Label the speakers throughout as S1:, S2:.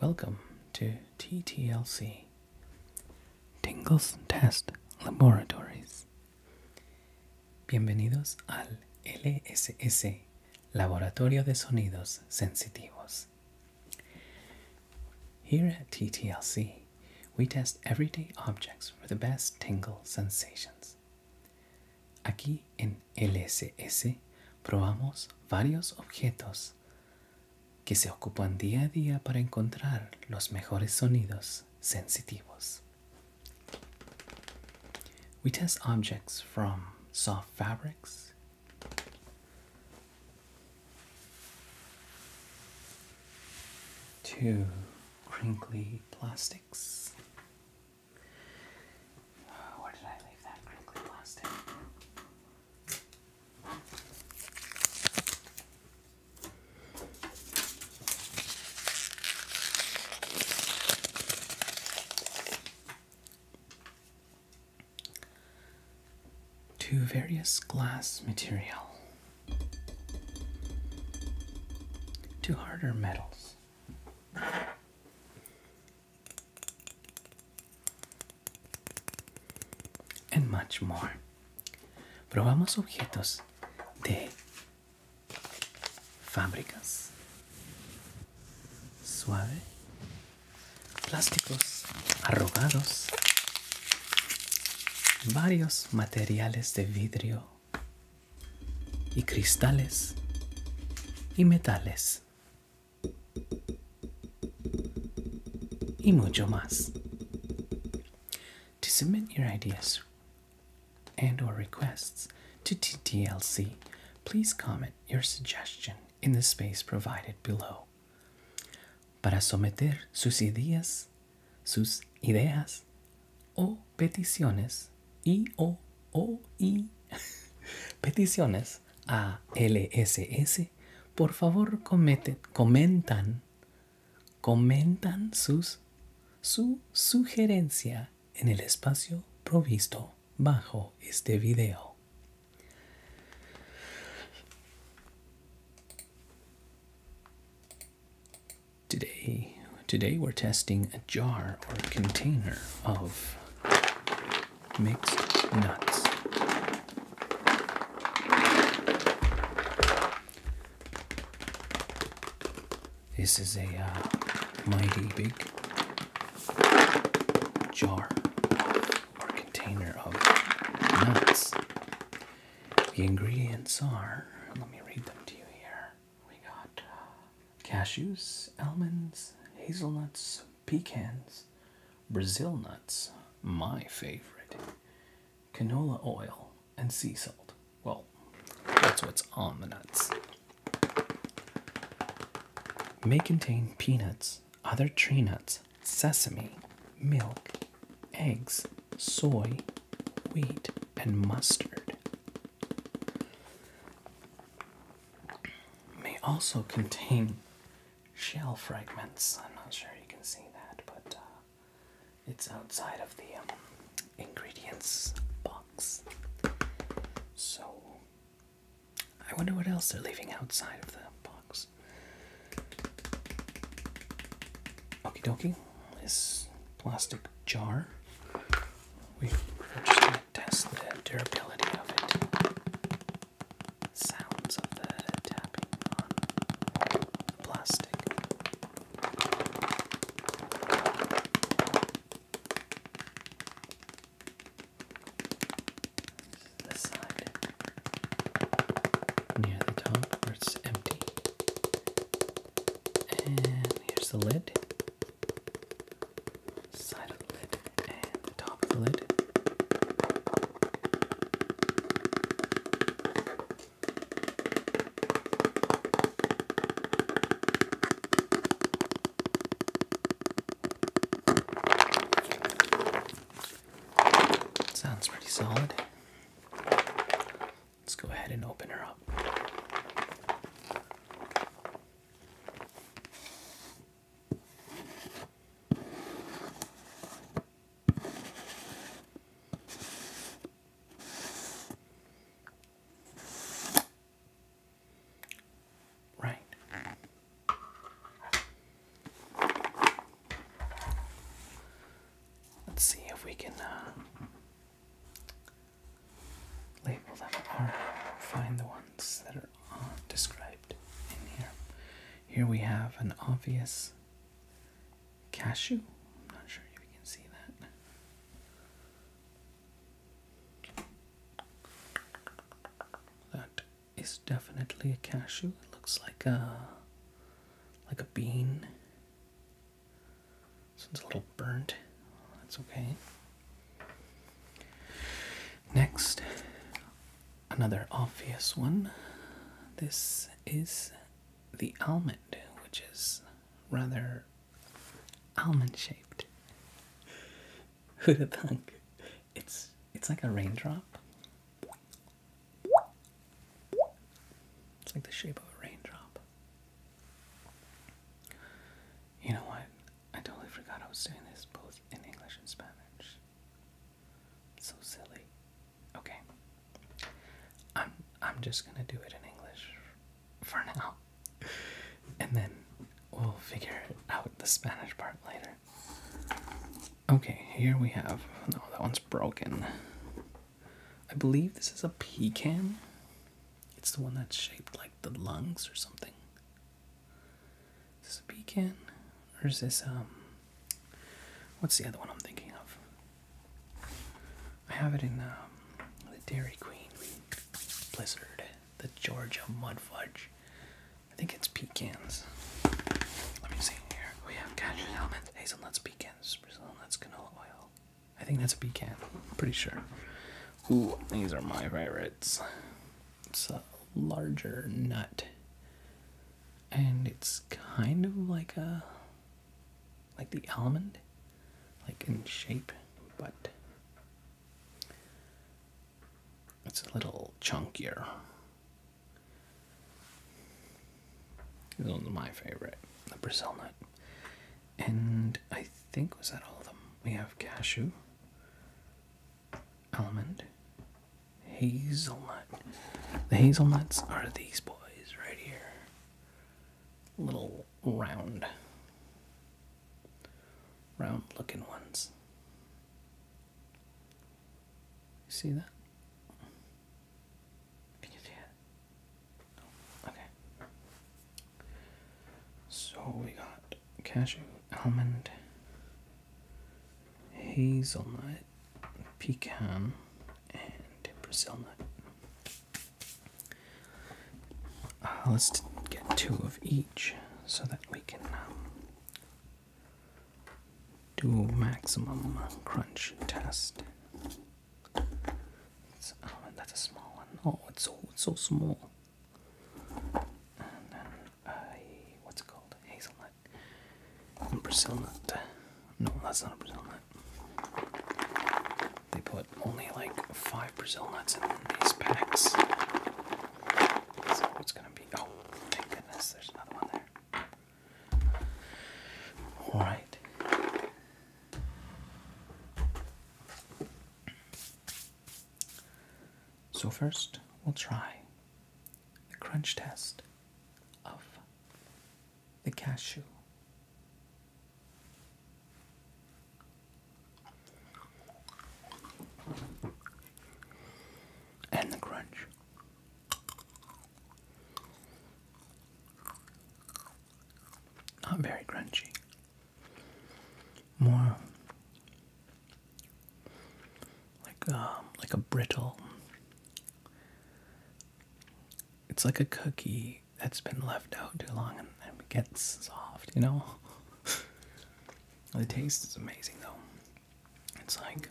S1: Welcome to TTLC Tingles Test Laboratories. Bienvenidos al LSS Laboratorio de Sonidos Sensitivos. Here at TTLC, we test everyday objects for the best tingle sensations. Aquí en LSS probamos varios objetos que se ocupan día a día para encontrar los mejores sonidos sensitivos. We test objects from soft fabrics to crinkly plastics To various glass material, to harder metals, and much more. Probamos objetos de fábricas, suave, plásticos arrugados, varios materiales de vidrio y cristales y metales. y mucho más. To submit your ideas and or requests to TTLC, please comment your suggestion in the space provided below. Para someter sus ideas, sus ideas o peticiones y o o y peticiones S S, por favor cometen, comentan, comentan sus, su sugerencia en el espacio provisto bajo este video. Today, today we're testing a jar or container of mixed nuts. This is a uh, mighty big jar or container of nuts. The ingredients are, let me read them to you here. We got uh, cashews, almonds, hazelnuts, pecans, Brazil nuts, my favorite, canola oil, and sea salt. Well, that's what's on the nuts. May contain peanuts, other tree nuts, sesame, milk, eggs, soy, wheat, and mustard may also contain shell fragments. I'm not sure you can see that, but uh, it's outside of the um, ingredients box. So, I wonder what else they're leaving outside of the box. Okie dokie, this plastic jar we are just going to test the durability of it. Sounds of the tapping on the plastic. This side near the top where it's empty. And here's the lid side of the lid and the top of the lid. Sounds pretty solid. Let's go ahead and open her up. Right. Let's see if we can uh, label them or find the ones that are uh, described in here. Here we have an obvious cashew. I'm not sure if you can see that. That is definitely a cashew. It looks like a like a bean. So it's a little burnt. That's okay. Next, another obvious one. This is the almond, which is rather almond shaped. Who'd have It's it's like a raindrop. It's like the shape of a raindrop. You know what? I totally forgot I was doing this both in English and Spanish. So silly. Okay. I'm I'm just gonna do it in English for now. And then we'll figure out the Spanish part later. Okay, here we have no that one's broken. I believe this is a pecan. It's the one that's shaped like the lungs or something. Is this a beacon? Or is this, um, what's the other one I'm thinking of? I have it in um, the Dairy Queen Blizzard, the Georgia Mud Fudge. I think it's pecans. Let me see here. We have cashew almonds, hazelnuts, pecans, Brazil nuts, canola oil. I think that's a pecan. pretty sure. Ooh, these are my favorites. It's a larger nut. And it's kind of like a like the almond, like in shape, but it's a little chunkier. This one's my favorite, the Brazil nut. And I think, was that all of them? We have cashew, Element, hazelnut. The hazelnuts are these boys right here. Little round, round looking ones. see that? Can you see it? Okay. So we got cashew, almond, hazelnut, pecan, and Brazil nut. Uh, let's get two of each so that we can um, do maximum crunch test. oh, that's a small one. Oh, it's so, it's so small and then a what's it called hazelnut Brazil nut. No, that's not a Brazil nut. They put only like five Brazil nuts in these packs. So gonna be oh thank goodness there's another one there. Alright. So, first, we'll try the crunch test of the cashew. And the crunch. Not very crunchy more like um like a brittle it's like a cookie that's been left out too long and, it gets soft you know the taste is amazing though it's like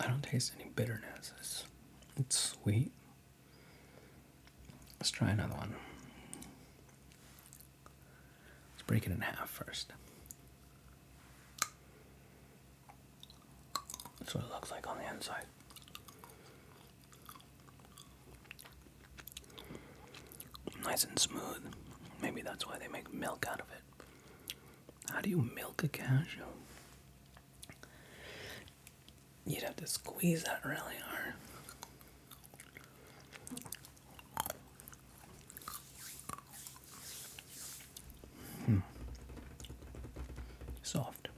S1: i don't taste any bitterness it's sweet let's try another one Let's break it in half first. That's what it looks like on the inside. Nice and smooth. Maybe that's why they make milk out of it. How do you milk a cashew? You'd have to squeeze that really hard. Hmm. Soft.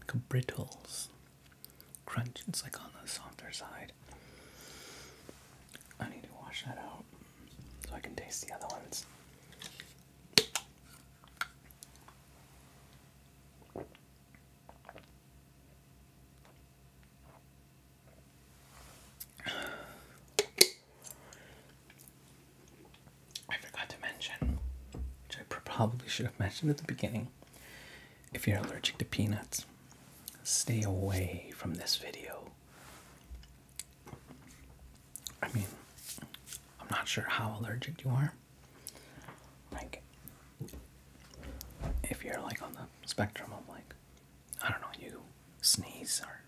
S1: Like a brittles. Crunch, it's like on the softer side. I need to wash that out so I can taste the other ones. I forgot to mention, which I probably should have mentioned at the beginning, if you're allergic to peanuts, stay away from this video. I mean, I'm not sure how allergic you are, like, if you're like on the spectrum of like, I don't know, you sneeze or,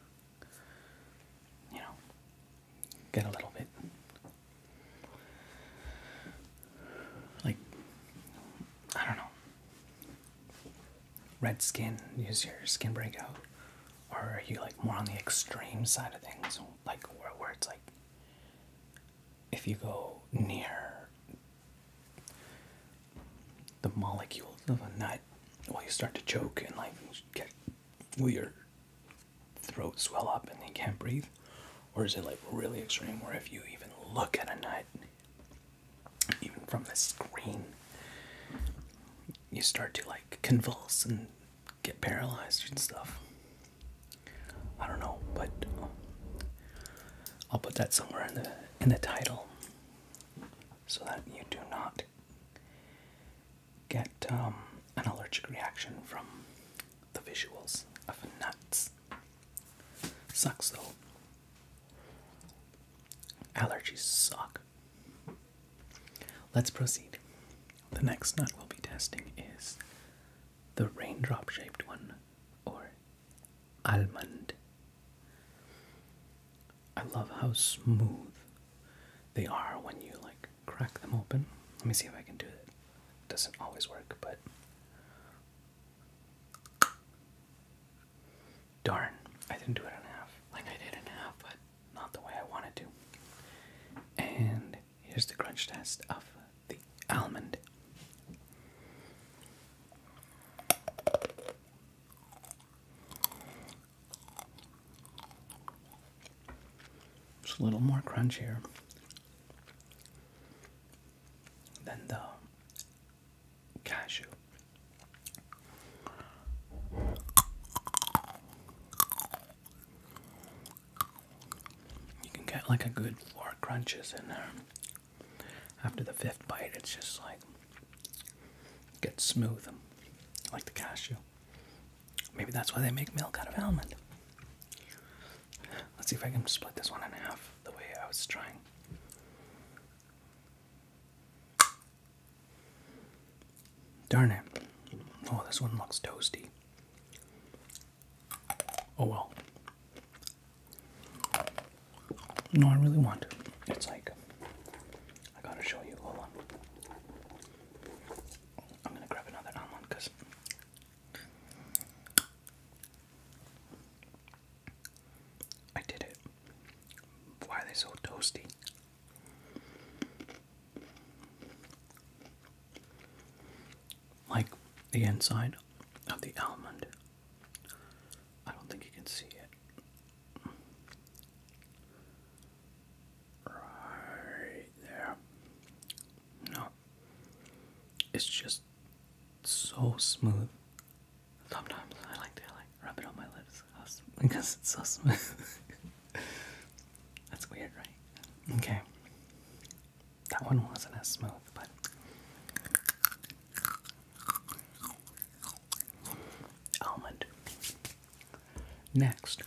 S1: you know, get a little bit like, I don't know, red skin, use your skin breakout, or are you like more on the extreme side of things, like where, where it's like if you go near the molecules of a nut, well, you start to choke and like get weird throat swell up and you can't breathe? Or is it like really extreme where if you even look at a nut, even from the screen, you start to like convulse and get paralyzed and stuff? I don't know, but I'll put that somewhere in the in the title so that you do not get um, an allergic reaction from the visuals of nuts. Sucks though. Allergies suck. Let's proceed. The next nut we'll be testing is the raindrop shaped one, or almond. I love how smooth they are when you like crack them open. Let me see if I can do it. it doesn't always work, but darn, I didn't do it in half. Like I did in half, but not the way I wanted to. And here's the crunch test of the almond. It's a little more crunchier than the cashew. You can get like a good four crunches in there after the fifth bite, it's just like gets smooth, um, like the cashew. Maybe that's why they make milk out of almond. Let's see if I can split this one in half the way I was trying. Darn it. Oh, this one looks toasty. Oh well. No, I really want. It's like I gotta show you. Hold on. I'm gonna grab another almond because I did it. Why are they so toasty? like the inside of the almond. I don't think you can see it. Right there. No. It's just so smooth. Sometimes I like to like rub it on my lips because it's so smooth. That's weird, right? Okay. That one wasn't as smooth, but almond. Next.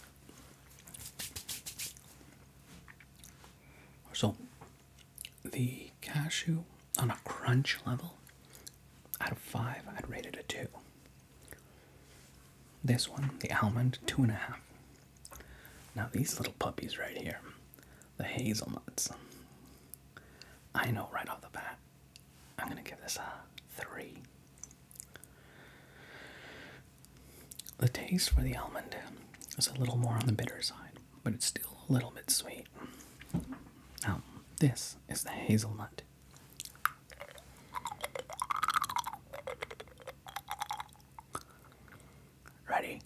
S1: So the cashew on a crunch level out of five I'd rate it a two. This one, the almond, two and a half. Now these little puppies right here the hazelnuts. I know right off the bat, I'm going to give this a 3. The taste for the almond is a little more on the bitter side, but it's still a little bit sweet. Now, this is the hazelnut. Ready?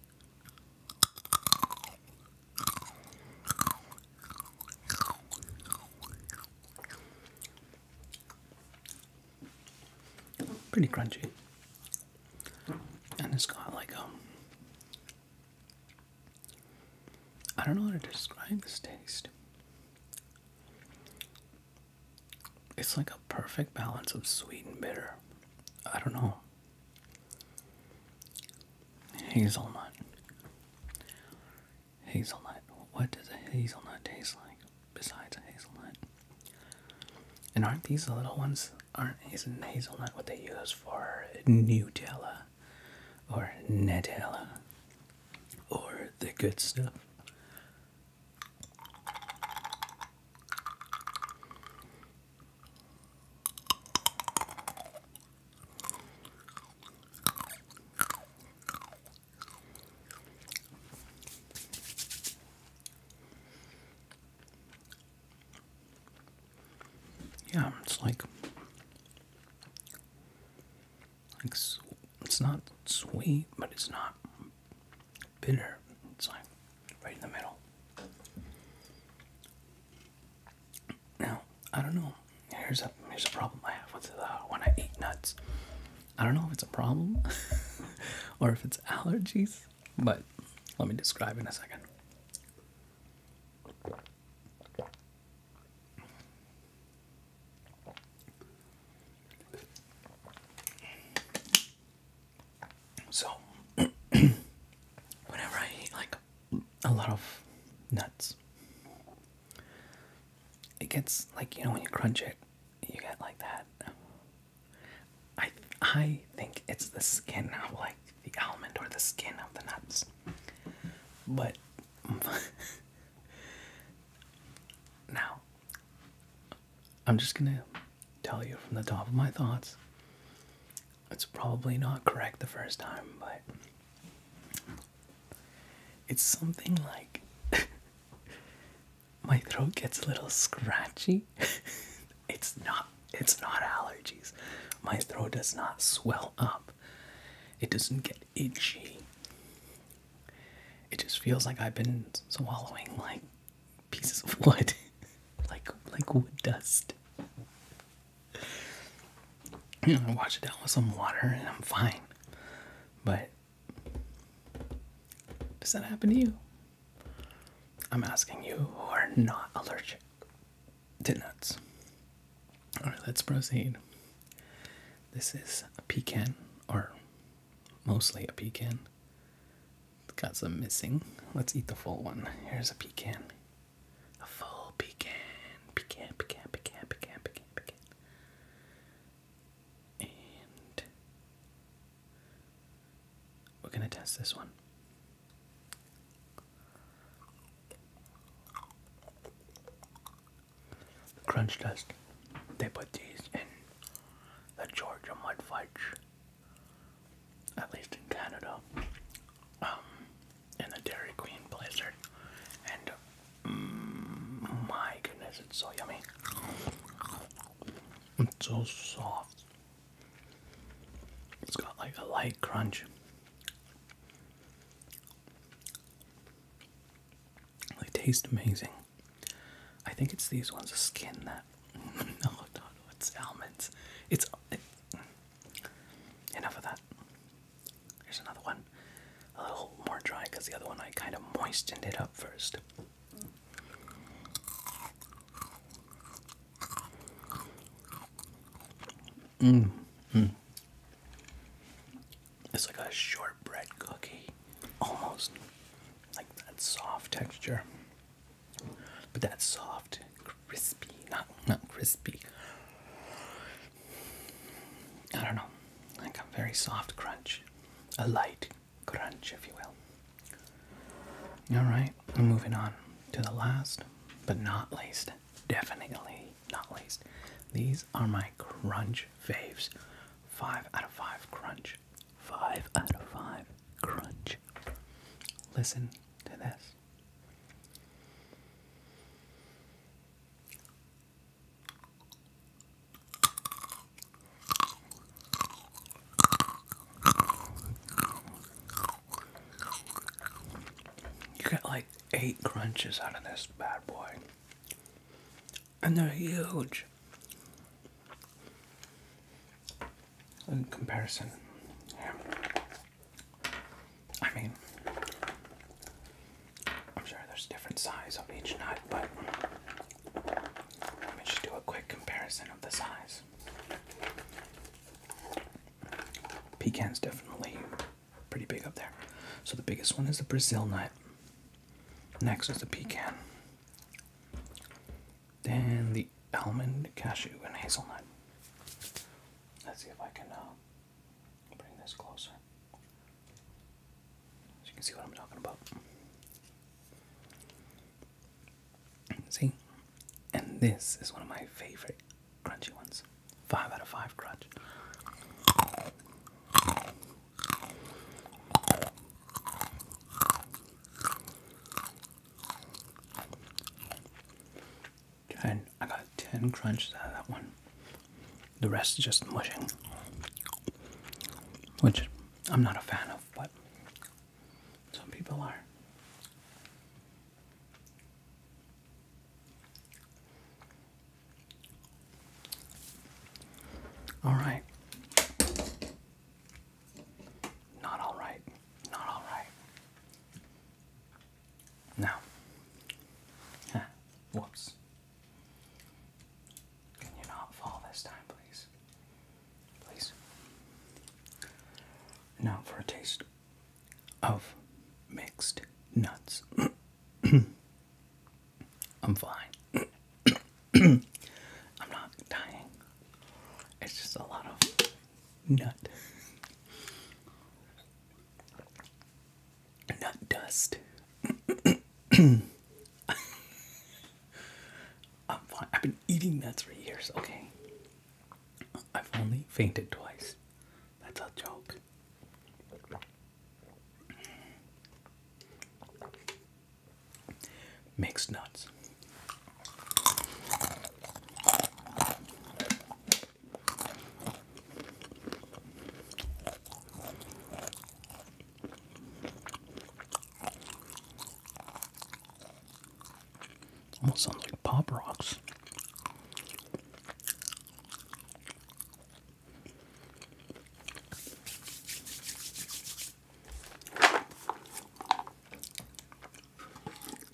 S1: Pretty crunchy. And it's got like um I don't know how to describe this taste. It's like a perfect balance of sweet and bitter. I don't know. Hazelnut. Hazelnut. What does a hazelnut taste like besides a hazelnut? And aren't these the little ones? Aren't is hazelnut what they use for Nutella or Nutella or the good stuff? Yeah, it's like like it's not sweet, but it's not bitter. It's like right in the middle. Now, I don't know. Here's a here's a problem I have with uh, when I eat nuts. I don't know if it's a problem or if it's allergies, but let me describe in a second. So, whenever I eat like a lot of nuts, it gets like you know when you crunch it, you get like that. I I think it's the skin of like the almond or the skin of the nuts, but now I'm just gonna tell you from the top of my thoughts it's probably not correct the first time, but it's something like my throat gets a little scratchy. it's not it's not allergies. My throat does not swell up. It doesn't get itchy. It just feels like I've been swallowing like pieces of wood, like like wood dust. You know, I wash it down with some water and I'm fine. But does that happen to you? I'm asking you who are not allergic to nuts. Alright, let's proceed. This is a pecan, or mostly a pecan. It's got some missing. Let's eat the full one. Here's a pecan. A full pecan. Pecan, pecan, pecan, pecan, pecan, pecan. And we're going to test this one. Crunch test. They put these in the Georgia mud fudge at least in Canada, um, in the Dairy Queen Blizzard, and mm, my goodness, it's so yummy. It's so soft. It's got like a light crunch. They taste amazing. I think it's these ones, skin that no, it's almonds. It's. enough of that. Here's another one. A little more dry because the other one I kind of moistened it up first. Mmm. It's like a shortbread cookie. Almost. Like that soft texture. But that's soft, crispy, not not crispy. I don't know, like a very soft crunch, a light crunch, if you will. All right, we're moving on to the last, but not least, definitely not least. These are my crunch faves. Five out of five crunch. Five out of five crunch. Listen to You get like eight crunches out of this bad boy, and they're huge in comparison. Yeah. I mean, I'm sure there's different size of each nut, but let me just do a quick comparison of the size. Pecan's definitely pretty big up there. So the biggest one is the Brazil nut. Next is the pecan. Then the almond, cashew, and hazelnut. Let's see if I can uh, bring this closer. you can see what I'm talking about. See? And this is one of my favorite crunchy ones. Five out of five crunch. Ten. I got ten crunches out of that one. The rest is just mushing, which I'm not a fan of, but some people are. All right. Not all right. Not all right. Now, whoops. Can you not fall this time, please? Please. Now for a taste of mixed nuts. I'm fine. I'm not dying. It's just a lot of nut nut dust. I'm fine. I've been eating nuts for years. Okay, I've only fainted twice. That's a joke. Mixed nuts. Almost sounds like Pop Rocks.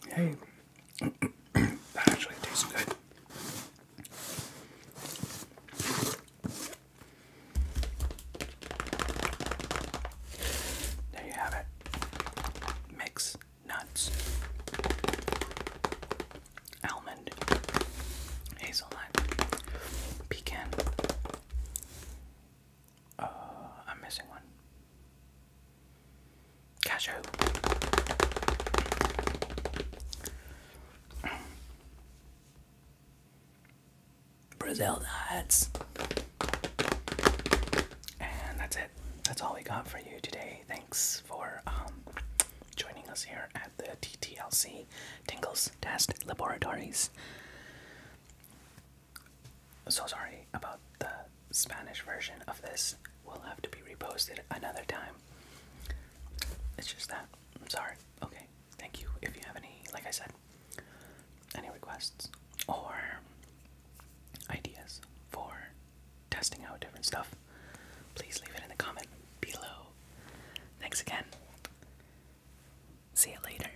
S1: Hey, that actually tastes good. There you have it. Mix nuts, almond, hazelnut, pecan, uh, I'm missing one. Cashew. Brazil nuts. And that's it. That's all we got for you today. Thanks for um, joining us here at the TTLC Tingles Test Laboratories so sorry about the Spanish version of this. we Will have to be reposted another time. It's just that. I'm sorry. Okay. Thank you. If you have any, like I said, any requests or ideas for testing out different stuff, please leave it in the comment below. Thanks again. See you later.